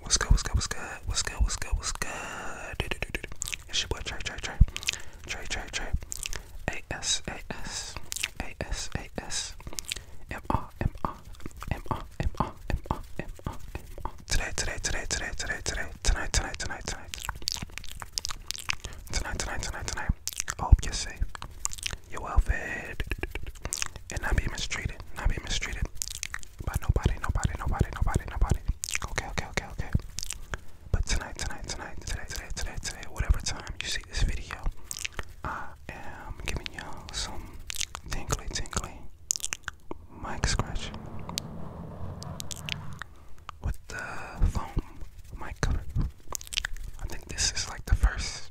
What's good? What's good? What's good? What's good? What's good? What's good? Do, do, do, do, do. It's your boy Trey, Trey, Trey, Trey, Trey, Trey. A S A S A S A S M R M R M R M R M R M R M R. Today, today, today, today, today, today, tonight, tonight, tonight, tonight, tonight, tonight, tonight, tonight. I hope you're safe, you're well fed, and not be mistreated, not be mistreated. But nobody, nobody, nobody, nobody, nobody. Okay, okay, okay, okay. But tonight, tonight, tonight, today, today, today, today, whatever time you see this video, I am giving you some tingly, tingly mic scratch with the foam mic cover. I think this is like the first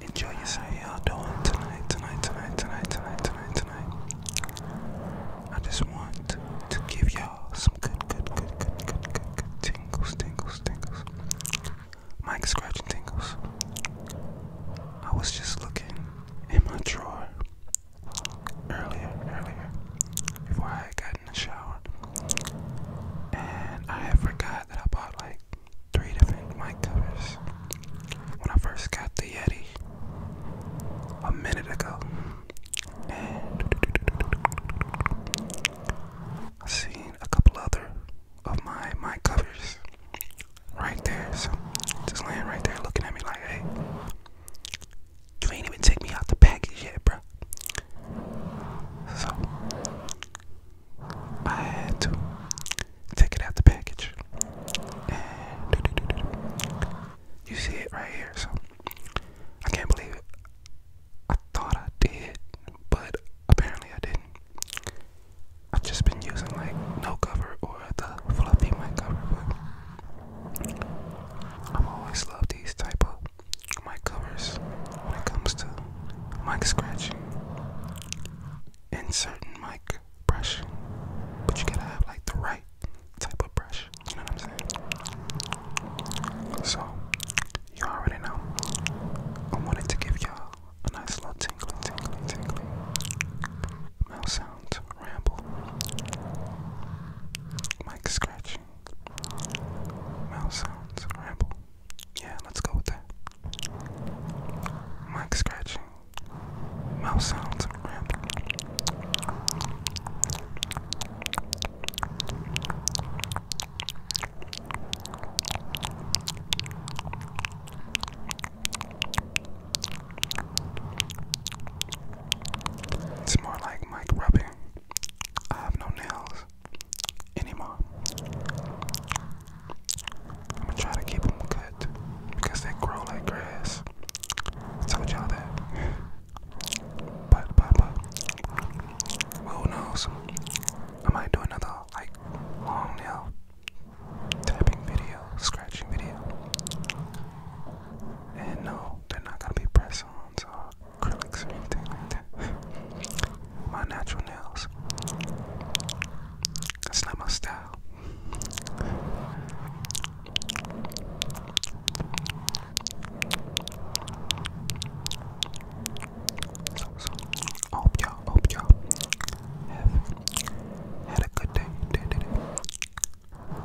Enjoy yourself. y'all tonight, tonight, tonight, tonight, tonight, tonight, tonight? I just want to give y'all some good, good, good, good, good, good, good tingles, tingles, tingles. Mike scratching tingles. I was just looking in my drawer earlier, earlier, before I got in the shower, and I forgot that I bought like three different mic covers. When I first got the Yeti a minute ago, and I seen a couple other of my mic covers right there. So just laying right there, looking at me like, "Hey, you ain't even take me out the package yet, bro." So I had to take it out the package. you see it right here. So I can't believe it. I thought I did, but apparently I didn't. I've just been using like no cover or the fluffy mic cover, but I've always love these type of mic covers when it comes to mic scratching and certain like brush, but you gotta have like the right type of brush. You know what I'm saying? So you already know. I wanted to give y'all a nice little tingling, tingling, tingling Mouse sounds, ramble, mic scratching, mouth sounds ramble. Yeah, let's go with that mic scratching, mouth sounds, It's more like mic rubbing. I have no nails anymore. I'm gonna try to keep them cut because they grow like grass. told y'all that. But, but, but, who knows? I might do another like long nail tapping video, scratching video. And no, they're not gonna be press ons or acrylics or anything like that my natural nails. That's not my style. So, so hope you had a good day, day, day, day.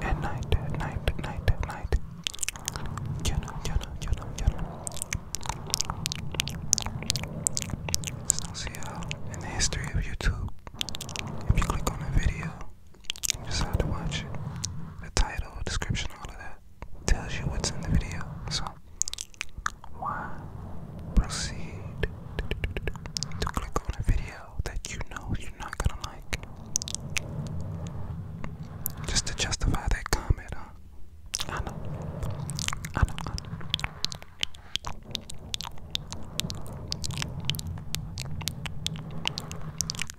At night, at night, at night, at night. You know, you know, you know, you know. Just uh, in the history of YouTube, if you click on a video and decide to watch it, the title, description, all of that tells you what's in the video. So why proceed to click on a video that you know you're not gonna like? Just to justify that comment, huh?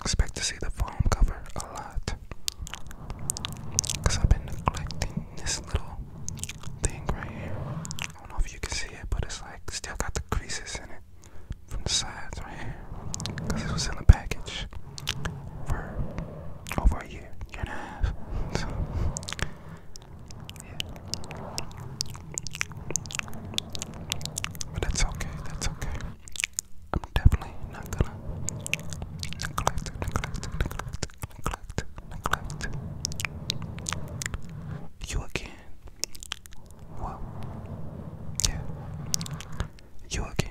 Expect to see the foam cover a lot. Because I've been neglecting this little thing right here. I don't know if you can see it, but it's like still got the creases in it from the sides right here. Because it was in the package for over a year, year and a half. yeah. But that's okay, that's okay. I'm definitely not gonna neglect, neglect, neglect, neglect, neglect. You again. Well, yeah you again.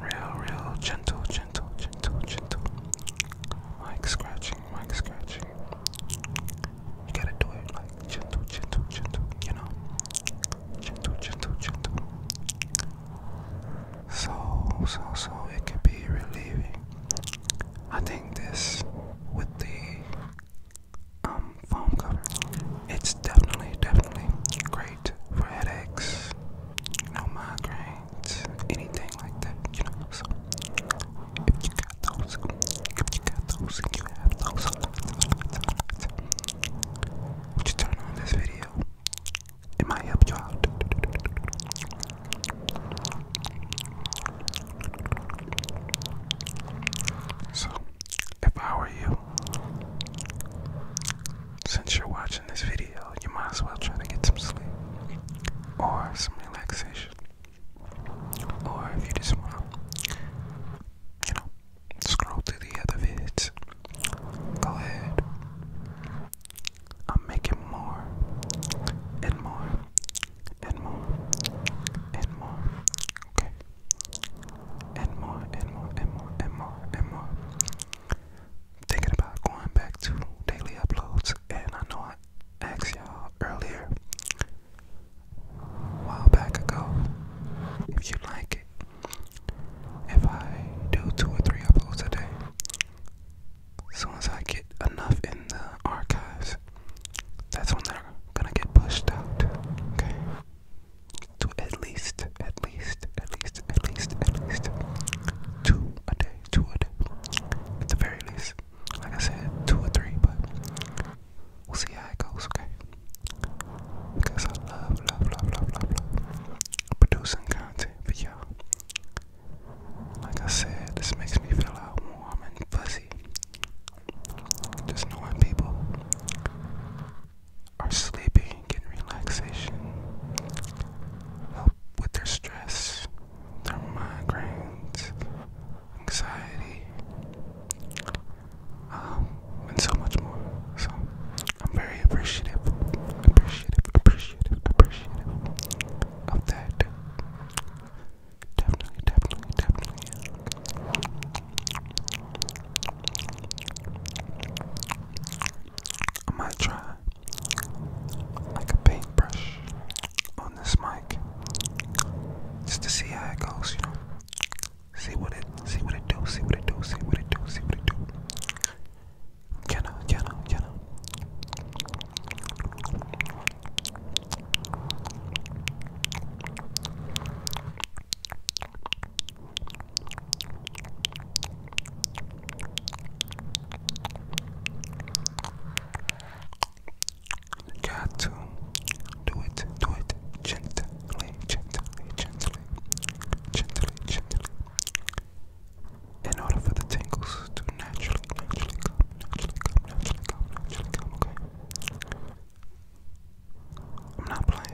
Real, real, gentle, gentle, gentle, gentle. Like scratching, like scratching. You gotta do it like gentle, gentle, gentle, you know? Gentle, gentle, gentle so so so it can be relieving. I think this with the um cover, it's definitely definitely great for headaches, no know, migraines, anything like that, you know. So if you got on this video? It might help you out. So, if I were you, since you're watching this video, you might as well try to get some sleep or some relaxation. Or if you just want, you know, scroll through the other vids, go ahead. I'm making more and more and more and more. Okay. And more and more and more and more and more. Thinking about going back to daily uploads, and I know I asked y'all earlier, a while back ago, if you like it. If I do two or three uploads a day, as soon as I get enough in the archives, that's when they're gonna get pushed out. Okay? To at least, at least, at least, at least, at least two a day, two a day. At the very least. Like I said, two or three, but we'll see how it goes, okay? Because I love, love, love, love, love, love producing content for you like I said, this makes me feel all warm and fuzzy. Just knowing people are sleeping, getting relaxation, help with their stress, their migraines, anxiety, um, and so much more. So I'm very appreciative, appreciative, appreciative, appreciative of that. Definitely, definitely, definitely. I might try like a paintbrush on this mic just to see how it goes, you know. See what it, see what it do, see what it do, see what it do, see what it do. Jenna, Jenna, Jenna. Got to do it, do it gently, gently, gently, gently, gently, in order for the tingles to naturally, naturally come, naturally come, naturally come, naturally come, okay? I'm not playing.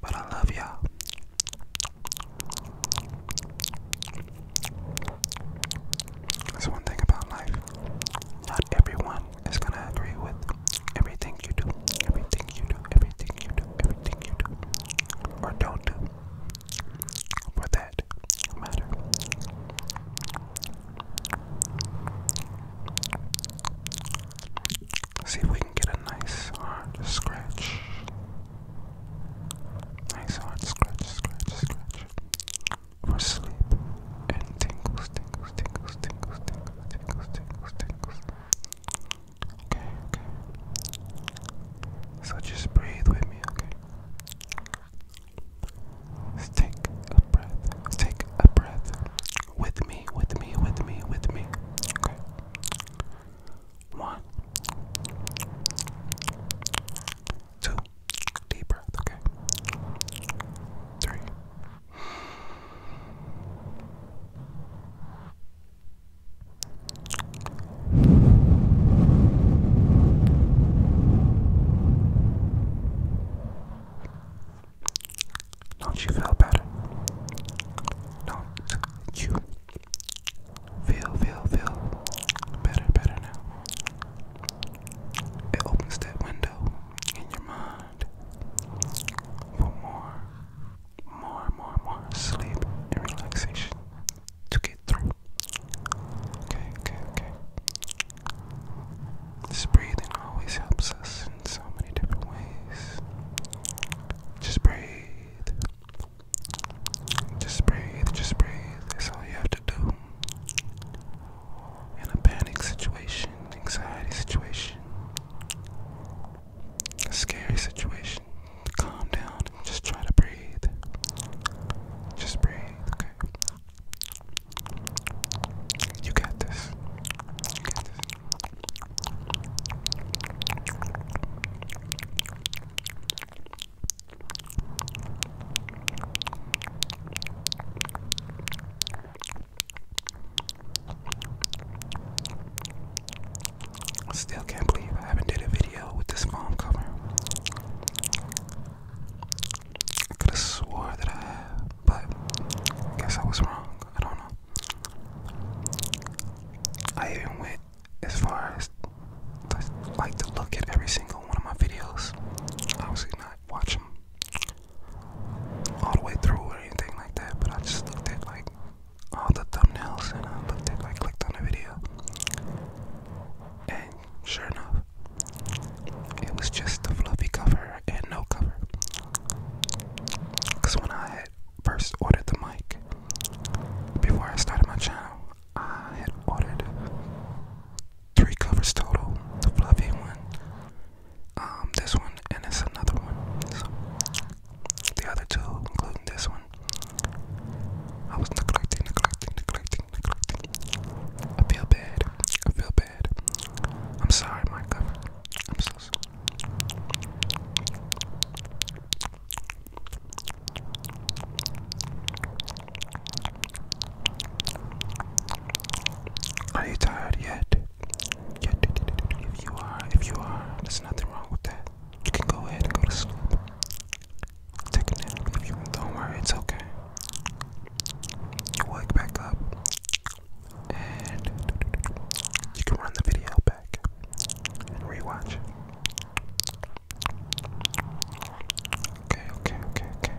But I love y'all. That's one thing about life. Not everyone is gonna agree with everything you do, everything you do, everything you do, everything you do, or don't do. For that matter. See if we can get a nice hard scratch. Nice hard scratch, scratch, scratch for sleep and tingles, tingles, tingles, tingles, tingles, tingles, tingles, tingles. Okay, okay. So just breathe with me, okay? Take a breath. Take a breath. With me, with me, with me, with me. Okay. One, two, Deep breath, okay? Three. Don't you feel better? Don't Feel, feel, feel better, better now. It opens that window in your mind for more, more, more, more sleep and relaxation to get through. Okay, okay, okay. This breathing always helps us in so many different ways. Just breathe. Just breathe, just breathe. That's all you have to do. In a panic situation, anxiety situation, a scary situation, calm down just try to breathe. Just breathe, okay? You got this. You got this. Still can't believe I haven't did a video with this foam cover. I could have swore that I have, but I guess I was wrong. I don't know. I even went as far as like to look at every single one of my videos. I was not watching all the way through or anything like that, but I just looked at like all the thumbnails and I looked at like clicked on the video. And sure enough, it was just a fluffy cover and no cover. Because when I first ordered the mic, before I started my channel, I had ordered three covers total, the fluffy one, um, this one, and it's another one. So the other two, including this one, I was neglecting, neglecting, neglecting, neglecting. I feel bad. I feel bad. I'm sorry, my cover. I'm so sorry. Are you tired yet? if you are, if you are, there's nothing wrong with that. You can go ahead and go to sleep. Take a nap if you want. Don't worry, it's okay. You wake back up, and you can run the video back and rewatch Okay, okay, okay, okay.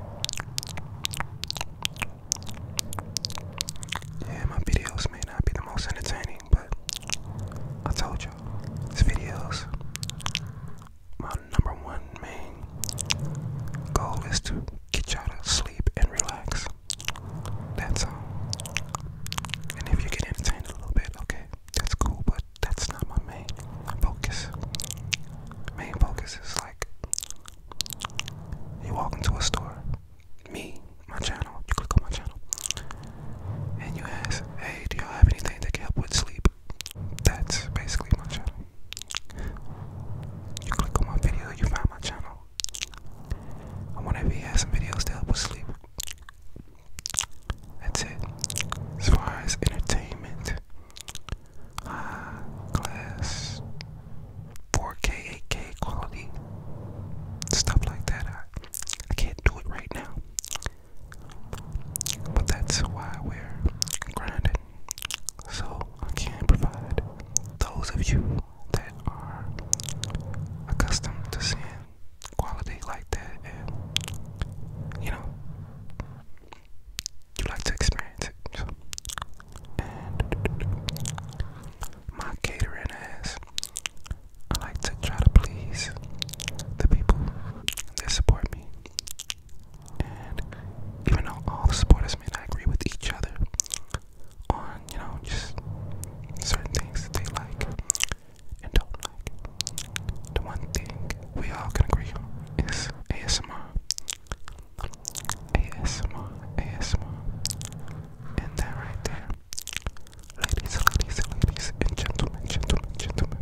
Yeah, my videos may not be the most entertaining, but I told y'all, these videos, my number one main goal is to get y'all to sleep and relax. That's all. And if you get entertained a little bit, okay, that's cool, but that's not my main focus. Main focus is like you walk into a store, me, my channel, you click on my channel, and you ask, hey, do y'all have anything that can help with sleep? That's basically my channel. You click on my video, you find my channel. I want to be has some videos to help with sleep. That's it. As far as entertainment, high class, 4K, 8K quality, stuff like that. I, I can't do it right now. But that's why we're grinding. So I can provide those of you that are accustomed to seeing quality like that, and you know, you like to experience it. So. And my catering ass, I like to try to please the people that support me. And even though all the supporters may not agree with each other on, you know, just certain things that they like, and don't like. The one thing we all can agree on is ASMR. ASMR, ASMR. And that right there. Ladies, ladies, ladies, and gentlemen, gentlemen, gentlemen.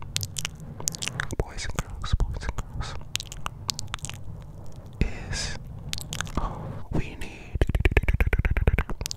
Boys and girls, boys and girls. Is we need.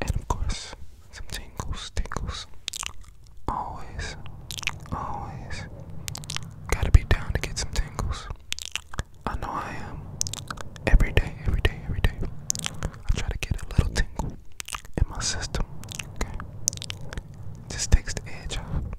and of course, some tingles, tingles. Always, always. Gotta be down to get some tingles. I know I am. Every day, every day, every day. I try to get a little tingle in my system. Okay? just takes the edge off.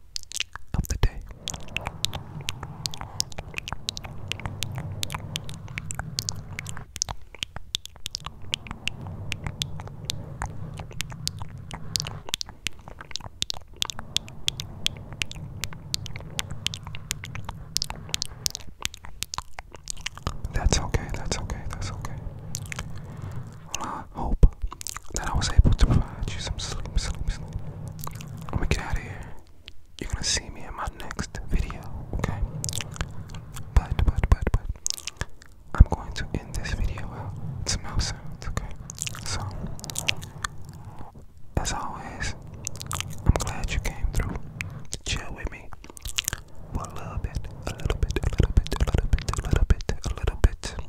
That's okay, that's okay, that's okay. Well, I hope that I was able to provide you some sleep, sleep, sleep. Let me get out of here. You're gonna see me in my next video, okay? But, but, but, but, I'm going to end this video out with some mouth sounds, okay? So, as always, I'm glad you came through to chill with me for a little bit, a little bit, a little bit, a little bit, a little bit, a little bit.